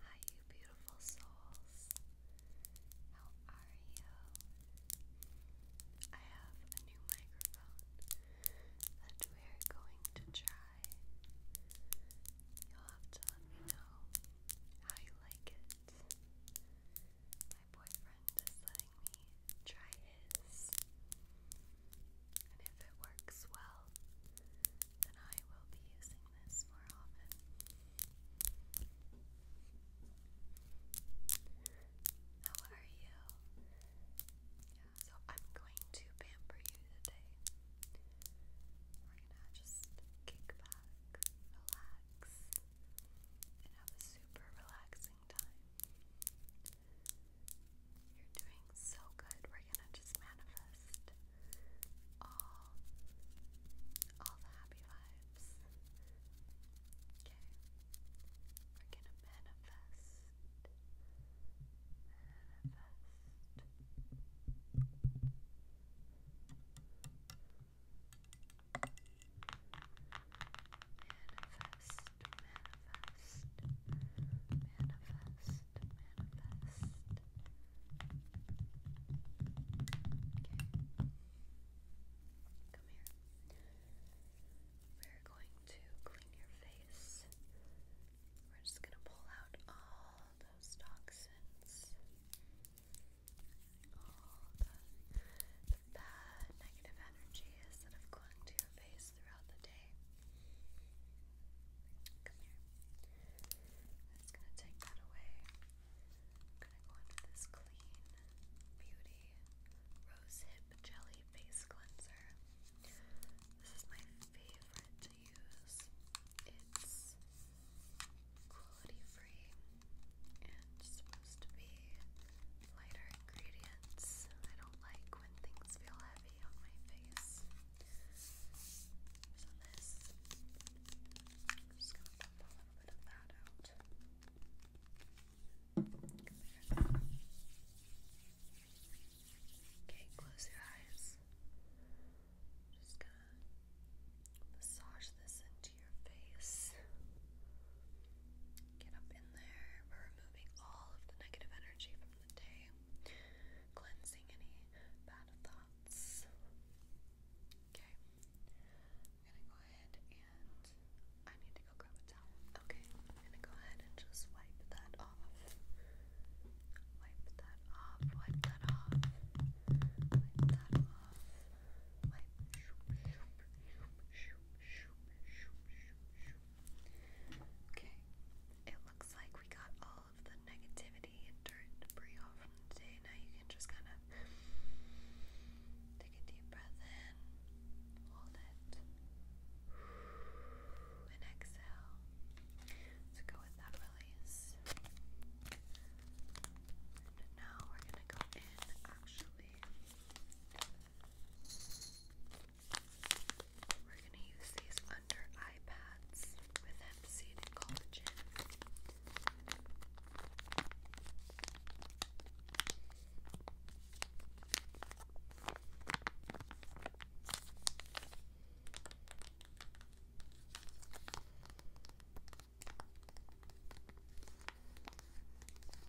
Hi, you beautiful souls. How are you? I have a new microphone that we're going to try. You'll have to let me know how you like it. My boyfriend is letting me try his and if it works well, then I will be using this more often. How are you? so I'm going to pamper you today. We're gonna just kick back, relax, and have a super relaxing time. You're doing so good. We're gonna just manifest all all the happy vibes. Okay. We're gonna manifest. Manifest. Manifest manifest, manifest, manifest. Okay. Come here. We're going to clean your face. We're just going to pull out all those toxins. All the, bad negative energies that have clung to your face throughout the day. Come gonna take that away. I'm gonna go into this clean beauty rose jelly face cleanser. This is my favorite to use. It's quality free and supposed to be lighter ingredients. I don't like when things feel heavy on my face. just gonna pop a little bit of that out. Okay, close your eyes. just gonna massage this into your face. Get up in there. We're removing all of the negative energy from the day cleansing any bad thoughts. Okay, I'm gonna go ahead and I need to go grab a towel. Okay, I'm gonna go ahead and just wipe that off. Wipe that off, wipe that off, wipe that off, wipe Okay, it looks like we got all of the negativity and dirt debris off from Now you can just kind of take a deep breath in, hold it, and exhale. So go with that release. And now we're gonna go in actually. We're going to use these under eye pads with hempseed collagen.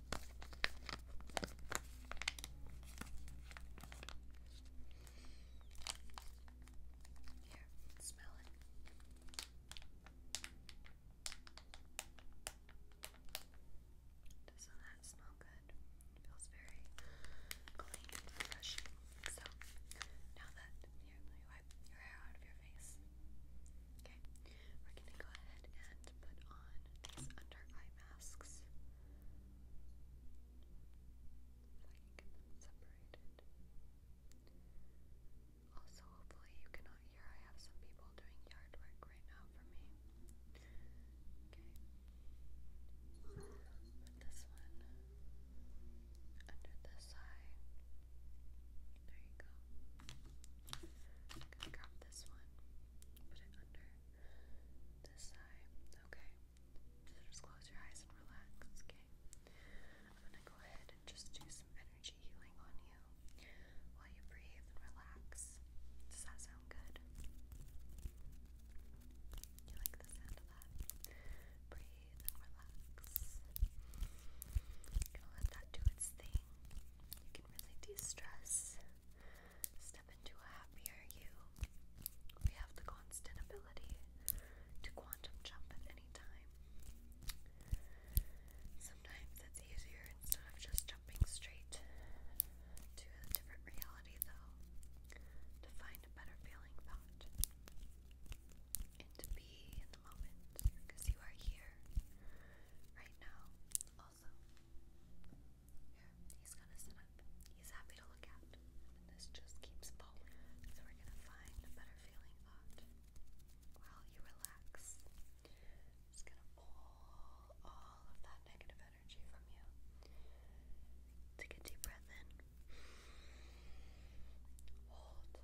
Here, Doesn't that smell good? feels very clean and refreshing. So now that you wipe your hair out of your face, okay, we're gonna go ahead and put on these under eye masks. I Also, hopefully you cannot hear I have some people doing yard work right now for me. Okay. Put this one under this eye. There you go. gonna grab this one, put it under. This eye. Okay. just close your eyes and relax, okay? I'm gonna go ahead and just do some energy healing on you while you breathe and relax. Does that sound good? You like the sound of that? Breathe and relax. gonna let that do its thing. You can really de stress Step into a happier you. We have the constant ability to quantum jump at any time. Sometimes it's easier instead of just jumping straight to a different reality, though, to find a better feeling thought and to be in the moment because you are here right now also. Here, he's gonna sit up. He's happy to look at. this just keeps falling. So we're gonna find a better feeling thought while you relax. Just gonna pull all of that negative energy from you. Take a deep breath in. Hold.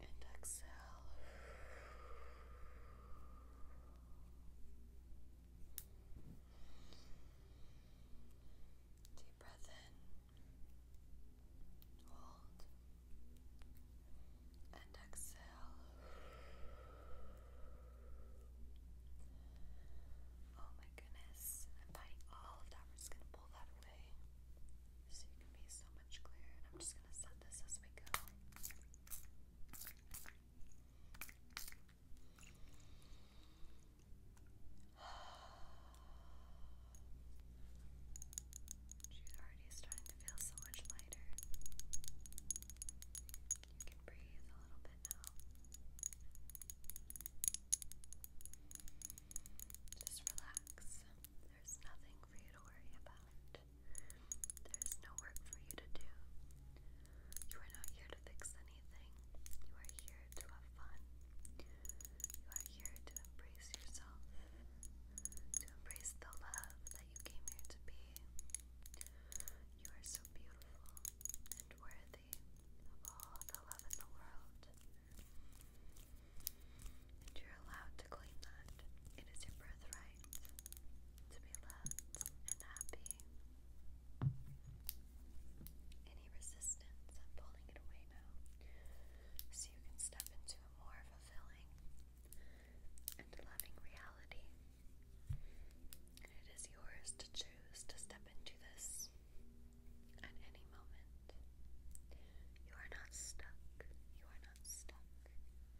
And exhale. Deep breath in, hold, and exhale. Oh my goodness, I'm fighting all of that. We're just gonna pull that away so you can be so much clearer. And I'm just gonna set this as we go. She's already starting to feel so much lighter. You can breathe a little bit now. Just relax. There's nothing for you to worry about. There is no work for you to do. You are not here to fix anything. You are here to have fun. You are here to embrace yourself, to embrace the love that you came here to be. You are so beautiful and worthy of all the love in the world. And you're allowed to claim that. It is your birthright to be loved and happy. Any resistance, I'm pulling it away now, so you can step into a more fulfilling and loving reality. And it is yours to choose to step into this at any moment. You are not stuck. You are not stuck. There we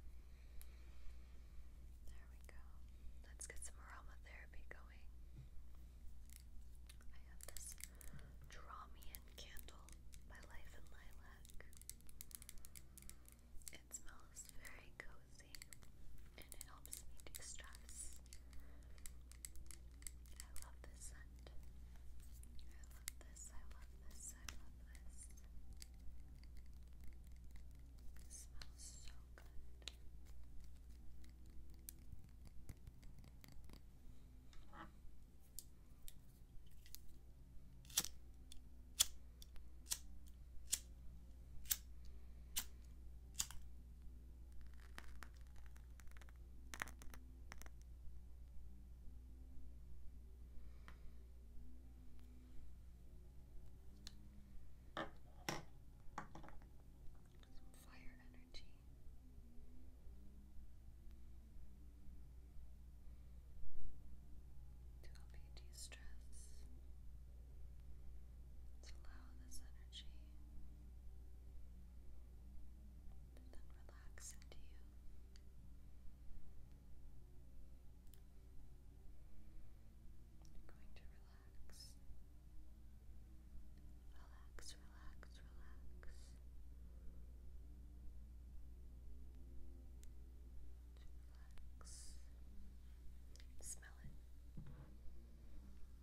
go. Let's get some aromatherapy going. I have this Draw candle by Life and Lilac. It smells very cozy and it helps me de stress. I love this scent. I love this, I love this, I love list. It smells so good. Some fire energy. To help you de-stress. let allow this energy to then relax into you. You're going to relax. Relax, relax, relax. Relax. Smell it.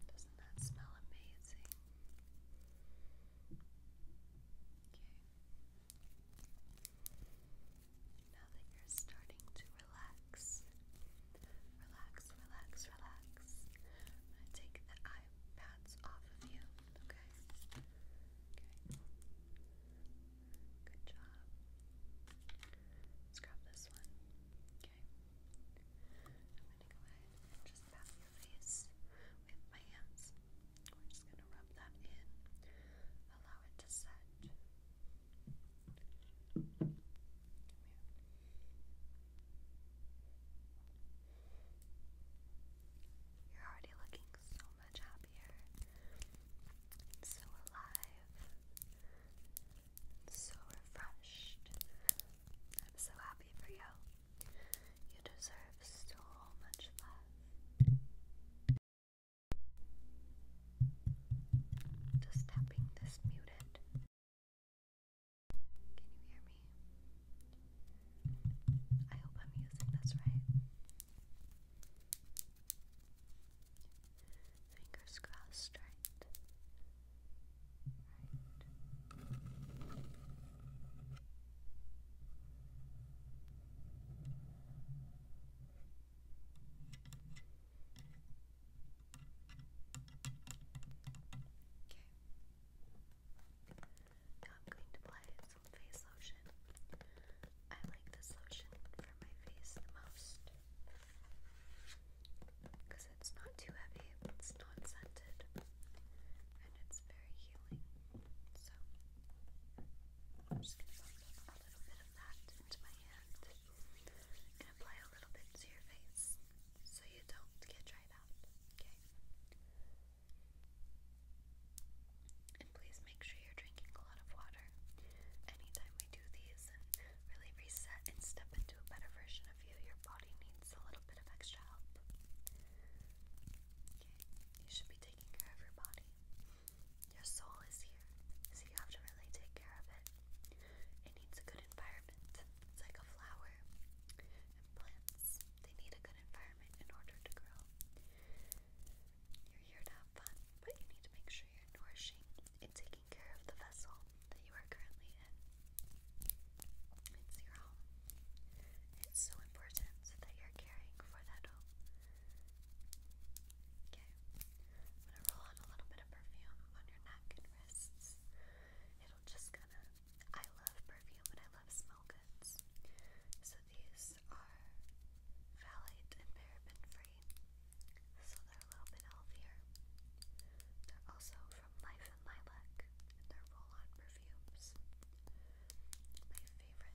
Doesn't that smell amazing? Okay. Now that you're starting to relax, relax, relax, relax. i take the eye pads off of you, okay? Okay. Good job. Let's grab this one. Okay. I'm going to go ahead and just pat your face with my hands. We're just going to rub that in, allow it to set. You're already looking so much happier, so alive, so refreshed. I'm so happy for you. You deserve so much love. Just tapping this muted. Can you hear me? I hope I'm using this right. Fingers crossed, right? Right. Now I'm going to apply some face lotion. I like this lotion for my face the most because it's not too heavy, it's not scented, and it's very healing. So, I'm just going to put a little bit of that into my hand and apply a little bit to your face so you don't get dried out, okay? And please make sure you're drinking a lot of water anytime we do these really reset and step into a better version of you. Your body needs a little bit of extra help. you should be taking taking care of your body. Your soul is here, so you have to really take care of it. It needs a good environment. It's like a flower and plants. They need a good environment in order to grow. You're here to have fun, but you need to make sure you're nourishing and taking care of the vessel that you are currently in. It's your home. It's so important that you're you for that Okay, I'm gonna roll on a little bit of perfume on your neck and wrists. It'll just kind of. I love perfume and I love smell goods. So these are phthalate and paraben free, so they're a little bit healthier. They're also from Life and Lilac, they're roll on perfumes. My favorite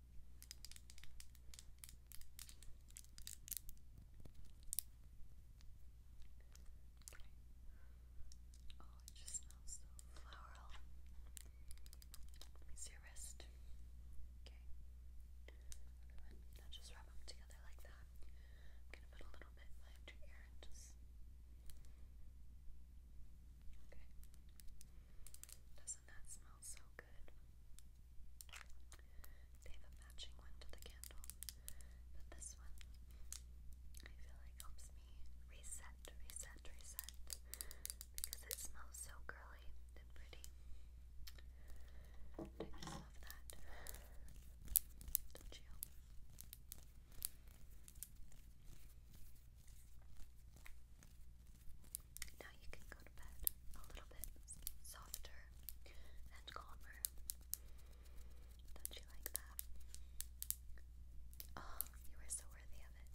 Oh, it just smells so floral. Let me see your wrist. Okay. Everyone, just wrap them together like that. I'm gonna put a little bit behind your ear and just. Okay. Doesn't that smell smells so good. They have a matching one to the candle, but this one I feel like helps me reset, reset, reset because it smells so girly and pretty. I just love that. Don't you? Now you can go to bed a little bit softer and calmer. Don't you like that? Oh, you are so worthy of it.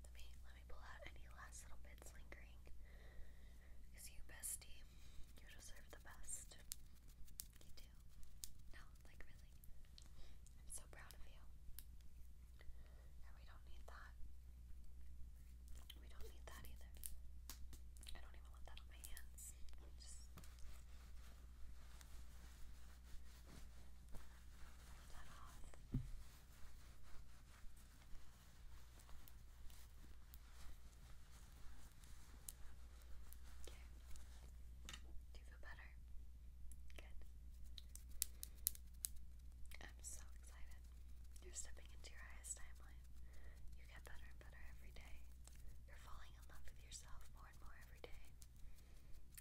Let me let me pull out any last little bits lingering. you bestie, you deserve the best. You do. No, like really. I'm so proud of you. And we don't need that. We don't need that either. I don't even want that on my hands. Just Pull that off. Okay. Do you feel better? Good. I'm so excited. You're stepping into your highest timeline. You get better and better every day. You're falling in love with yourself more and more every day.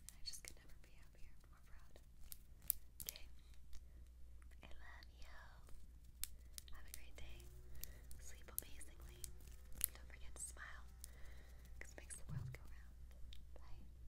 I just could never be happier more proud. Okay. I love you. Have a great day. Sleep amazingly. Don't forget to smile. Because it makes the world go round. Bye.